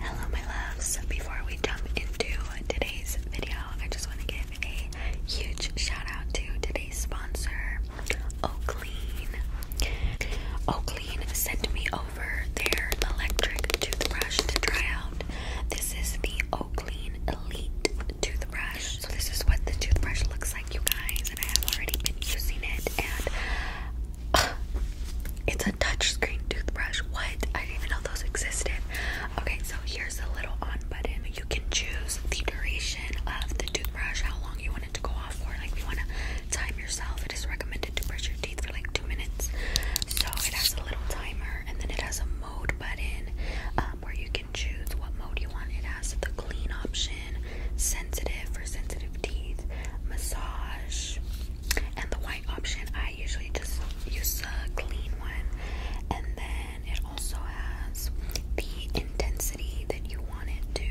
Hello, my loves. Before we jump into today's video, I just want to give a huge shout out to today's sponsor, Oaklean. Oaklean sent me over their electric toothbrush to try out. This is the Oaklean Elite toothbrush. So, this is what the toothbrush looks like, you guys, and I have already been using it. And it's a touchscreen toothbrush. What? I didn't even know those existed. Okay, so here's a little on button. You can choose the duration of the toothbrush, how long you want it to go off for. Like, you want to time yourself, it is recommended to brush your teeth for like two minutes. So, it has a little timer, and then it has a mode button um, where you can choose what mode you want. It has the clean option, sensitive for sensitive teeth, massage, and the white option I usually just use a clean one and then it also has the intensity that you want it to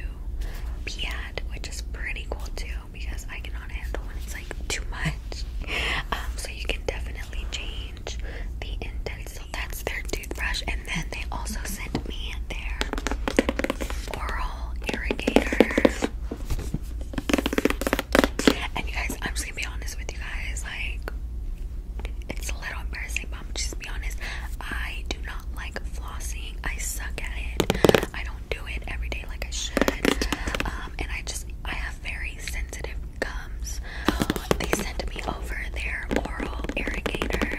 be at which is pretty cool too because I cannot handle when it's like too much um, so you can definitely change the intensity so that's their toothbrush and then they also sent me their oral irrigator and you guys, I'm just gonna be honest with you guys, like it's a little embarrassing, but I'm just be honest. I do not like flossing. I suck at it. I don't do it every day like I should. Um, and I just I have very sensitive gums. They sent me over their oral irrigator,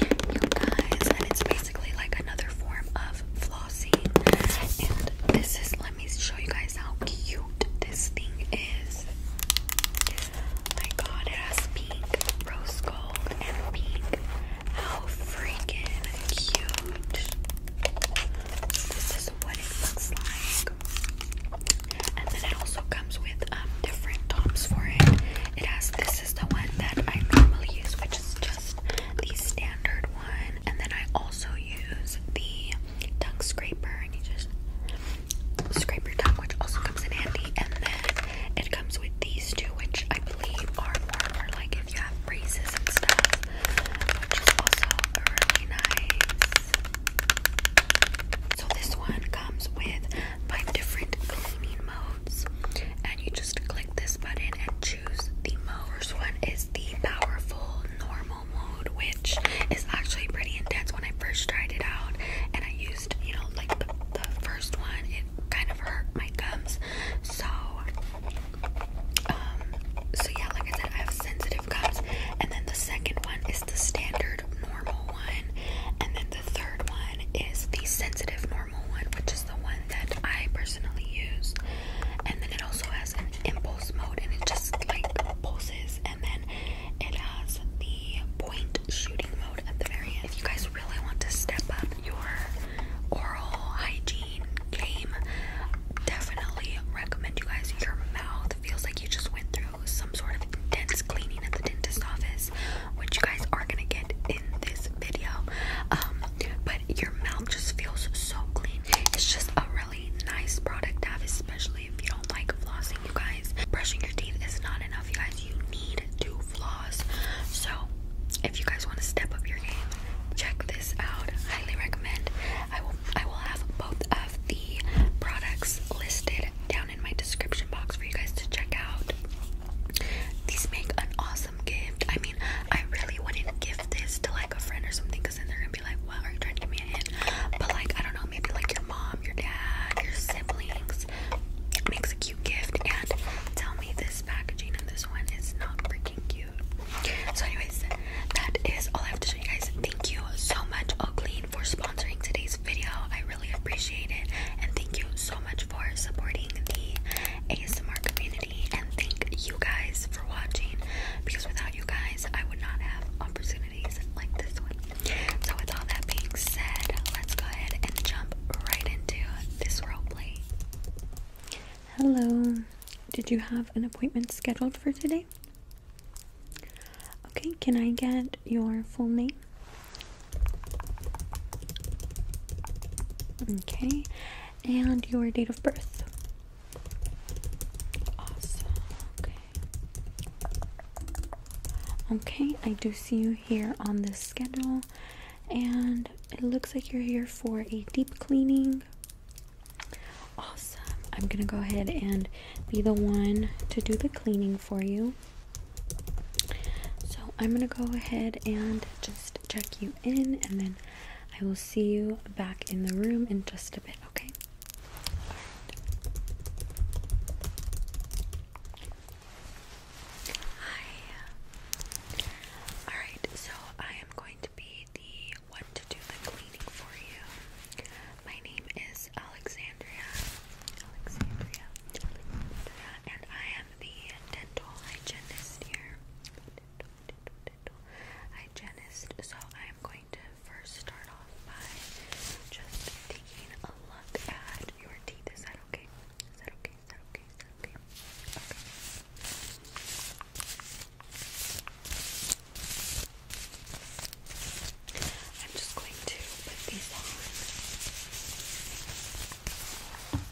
you guys, and it's basically like another form of floss this is, let me show you guys how cute this thing is. My god, it has pink, rose gold, and pink. How freaking cute. This is what it looks like. And then it also comes with um, different tops for it. It has, this is the one that I normally use, which is just the standard one. And then I also use the tongue scraper, and you just scrape your tongue, which also comes in handy. And then it comes with these two, which I believe are more for like if you have braces and stuff, which is also really nice. So this one comes with five different cleaning modes and you just click this button and choose the most one is the powerful normal mode, which is actually pretty intense when I first tried it out and I used, you know, like the, first one, it kind of hurt my gums. So um, so yeah, like I said, I have sensitive gums. And then the second one is the standard normal one. And then the third one is the sensitive normal which is the one that I personally use. And then it also has an impulse mode, and it just like pulses. And then it has the point shooting mode at the very end. If you guys really want to step up your oral hygiene game, definitely recommend you guys. Your mouth feels like you just went through some sort of intense cleaning at the dentist's office, which you guys are gonna get in this video. Um, your mouth just feels so clean. It's just a really nice product to have, especially if you don't like flossing, you guys. Brushing your teeth is not enough, you guys. You need to floss. So, if you guys want to step up your game, check this out. Highly recommend. I will I will have both of the products listed down in my description box for you guys to check out. These make an awesome gift. I mean, I really wouldn't give this to like a friend or something because then they're gonna be like, Wow, are you trying to give me a hint? But like, I don't know, maybe like your mom, your dad, your siblings makes a cute gift and tell me this packaging and this one is not freaking cute. So, anyways, that is all I have to show you guys. Thank you so much, Oakleen, for sponsoring today's video. I really appreciate it, and thank you so much for supporting the ASMR community and thank you guys for watching because without you guys I would not have opportunities like this one. So with all that being said, let's go ahead and jump right into this roleplay. Hello. Did you have an appointment scheduled for today? Okay, can I get your full name? Okay, and your date of birth. Awesome. Okay. Okay, I do see you here on this schedule, and it looks like you're here for a deep cleaning. Awesome. I'm gonna go ahead and be the one to do the cleaning for you. So I'm gonna go ahead and just check you in and then I will see you back in the room in just a bit, okay? Hi. Alright, uh, so I am going to be the one to do the cleaning for you. My name is Alexandria. And I am the dental hygienist here hygienist. So I'm going to first start off by just taking a look at your teeth. Is that okay? Is that okay? Is that okay? Is that okay? Okay. I'm just going to put these on.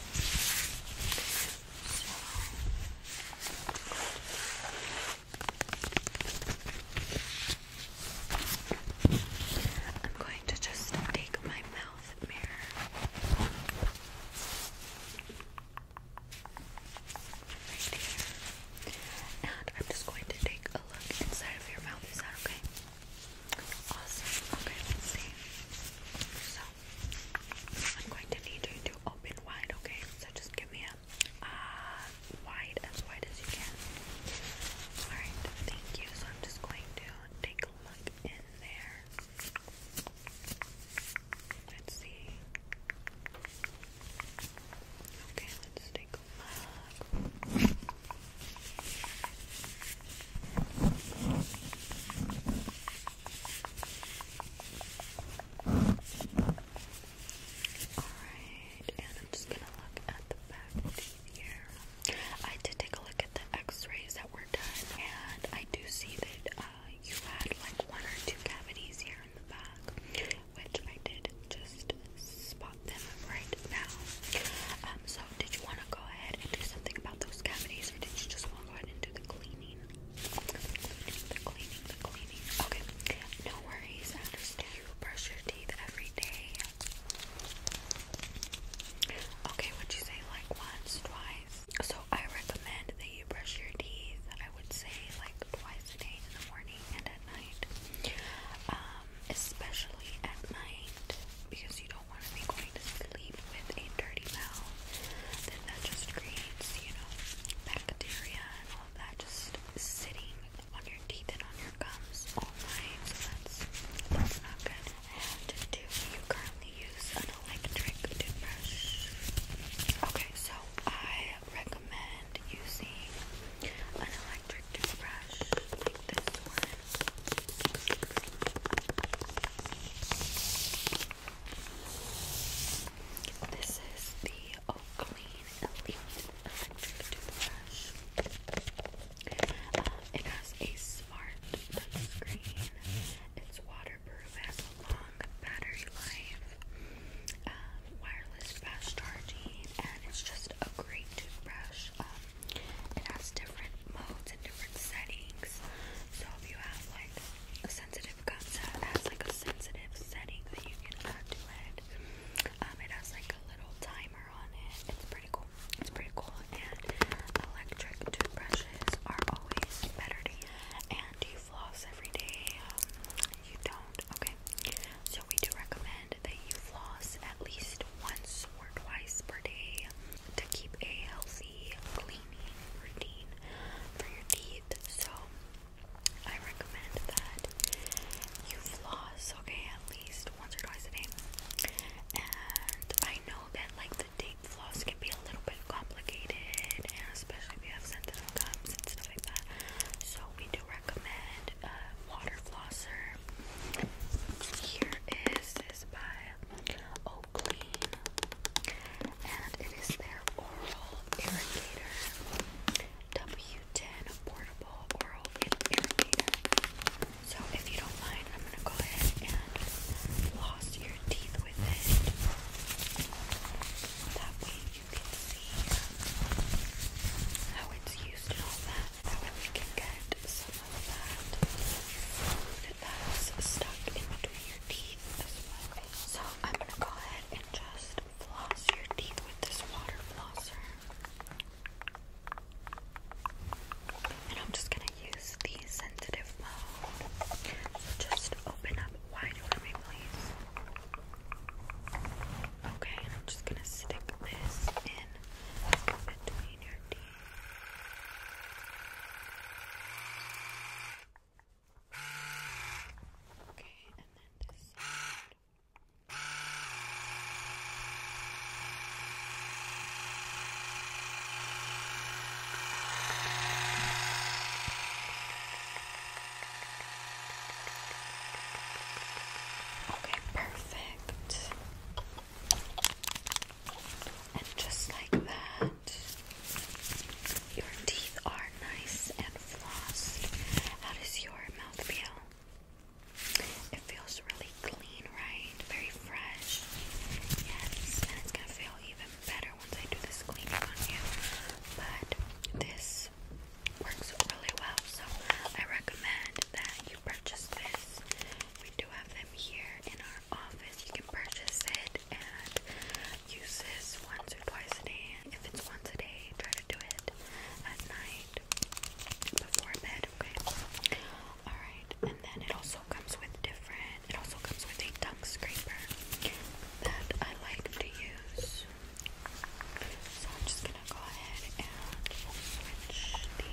I'm going to just take my mouth mirror right here, and I'm just going to take a look inside of your mouth. Is that okay? Okay. Awesome. Okay, let's see. So, I'm going to need you to open wide, okay? So just give me a uh, wide, as wide as you can. Alright, thank you. So I'm just going to take a look in there. Let's see. Okay, let's take a look. Alright, and I'm just gonna look at the back here. I did take a look at the x-rays that were done, and I do see that uh, you had like one or two cavities here in the back, which I did just spot them right now. Um, so did you want to go ahead and do something about those cavities, or did you just want to go ahead and do the cleaning? The cleaning, the cleaning. Okay, no worries. I you brush your teeth every day. Okay, would you say like once, twice? So I recommend that you brush your teeth. I would say like twice a day in the morning and at night, um, especially at night because you don't don't want to be going to sleep with a dirty mouth, then that just creates, you know, bacteria and all that just sitting on your teeth and on your gums all night. So that's that's not good. And do you currently use an electric toothbrush? Okay, so I recommend using an electric toothbrush like this one. This is the Oakley Elite Electric Toothbrush. Uh, it has a smart touchscreen. It's waterproof, has a long battery life, um, wireless fast charging, and it's just a great toothbrush. Um, it has different modes and different settings. So if you have like a sensitive concept, it has like a sensitive setting that you can add it. Um, it has like a little timer on it. It's pretty cool. It's pretty cool. And electric toothbrushes are always better And do you floss every day? Um, you don't. Okay. So we do recommend that you floss at least once or twice per day to keep a healthy cleaning routine for your teeth. So I recommend that you floss, okay, at least once or twice a day. And I know that like the deep floss can be a little bit complicated, and especially if you have sensitive gums and stuff like that. So we do recommend a water flosser. Here is this by clean. So if you don't mind, I'm gonna go ahead and floss your teeth with it. That way you can see um, how it's used and all that. That way we can get some of that that's stuck in between your teeth as well. So I'm gonna go ahead and just floss your teeth with this water flosser. And I'm just gonna use the sensitive mode. So just open up wide for me, please. Okay, and I'm just gonna stick this in between your teeth. Okay, and then this side. Okay, perfect. And just like that, your teeth are nice and flossed. How does your mouth feel? It feels really clean, right? Very fresh. Yes, and it's gonna feel even better once I do this cleaning on you. But this works really well, so I recommend that you purchase this we do have them here in our office. You can purchase it and use this once or twice a day. If it's once a day, try to do it at night before bed, okay? Alright, and then it also comes with different, it also comes with a tongue scraper that I like to use. So I'm just gonna go ahead and switch the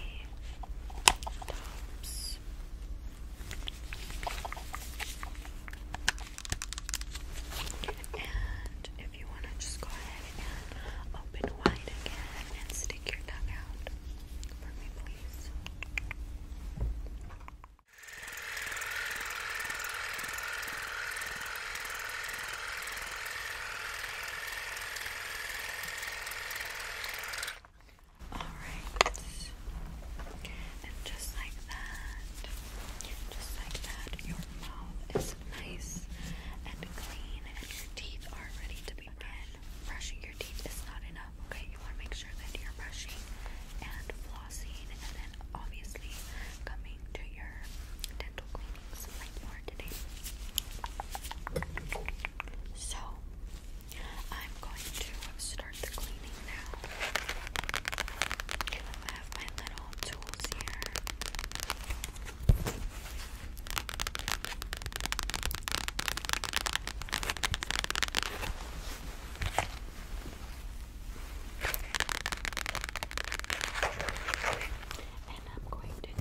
and if you want to just go ahead and open wide again and stick your tongue out for me, please. Alright. And just like that, just like that, your mouth is nice and clean and your teeth are ready to be again. Brushing your teeth is not enough, okay? You want to make sure that you're brushing and flossing and then obviously coming to your dental cleanings like you today. So, I'm going to start the cleaning now. I have my little tools here. And I'm going to take this one right here.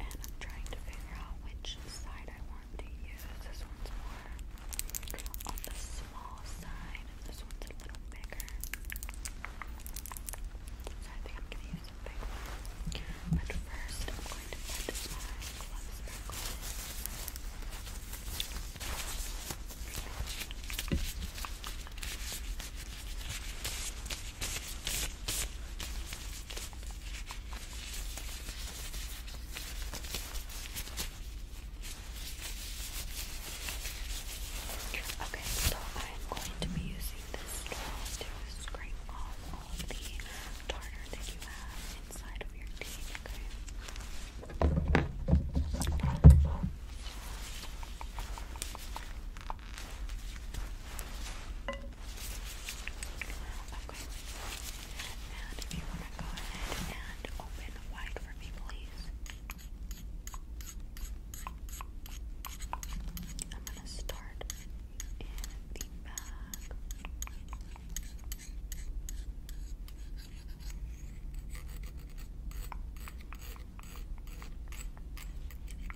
and I'm trying to figure out which side I want to use. This one's more on the small side, and this one's a little bigger. So I think I'm going to use a But first, I'm going to put my gloves Okay, so I'm going to be using this straw to scrape off all of the tartar that you have inside of your teeth, Okay. And if you want to go ahead and open wide for me, please. I'm going to start in the back.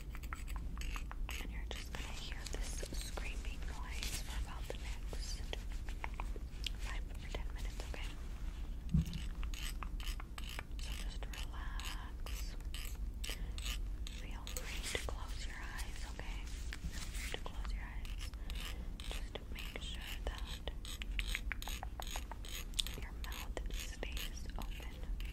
And you're just going to hear this screaming noise for about the next 5 or 10 minutes, okay? So just relax. Feel free to close your eyes, okay? to close your eyes. Just make sure that your mouth stays open.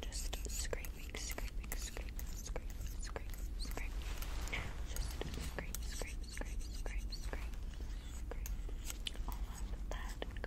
Just scraping, scraping, scraping, scrape, scrape, scrape. Just scrape, scrape, scrape, scrape, scrape, scrape. All of that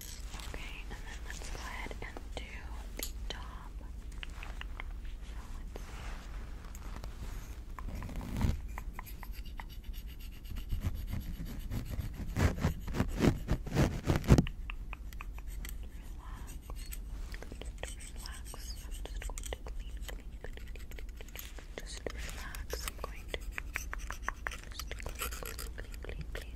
Okay, and then let's go ahead and do the top. Relax. Relax. I'm just going to clean, clean, clean, clean, clean. Just relax. I'm going to just clean, clean, clean, clean, clean.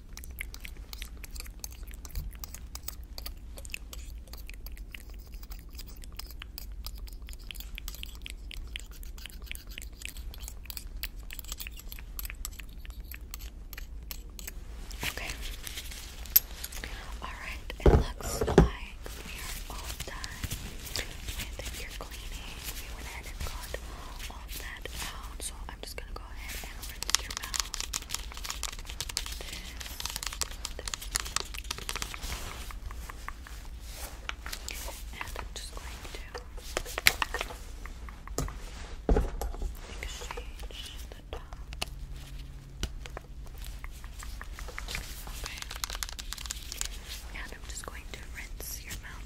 Okay. All right. It looks like we are all done with your cleaning. We went ahead and got all that out. So I'm just gonna go ahead and rinse your mouth And I'm just going to exchange the top. Okay. And I'm just going to rinse your mouth.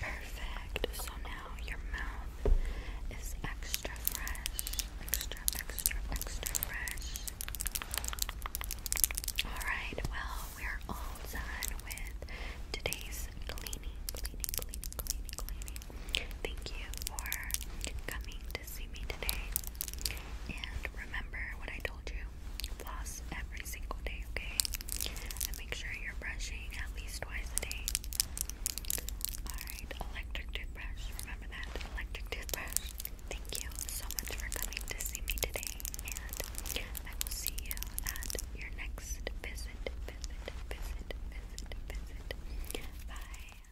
Perfect. So now your mouth is extra fresh. Extra, extra, extra fresh. Alright, well, we're all done with today's cleaning, cleaning, cleaning, cleaning, cleaning. Thank you for coming to see me today. And remember what I told you floss every single day, okay? And make sure you're brushing at least twice a day. Alright, electric toothbrush. Remember that. Electric toothbrush. Thank you so much for coming to see me today. And I will see you at your next visit. visit. Bye.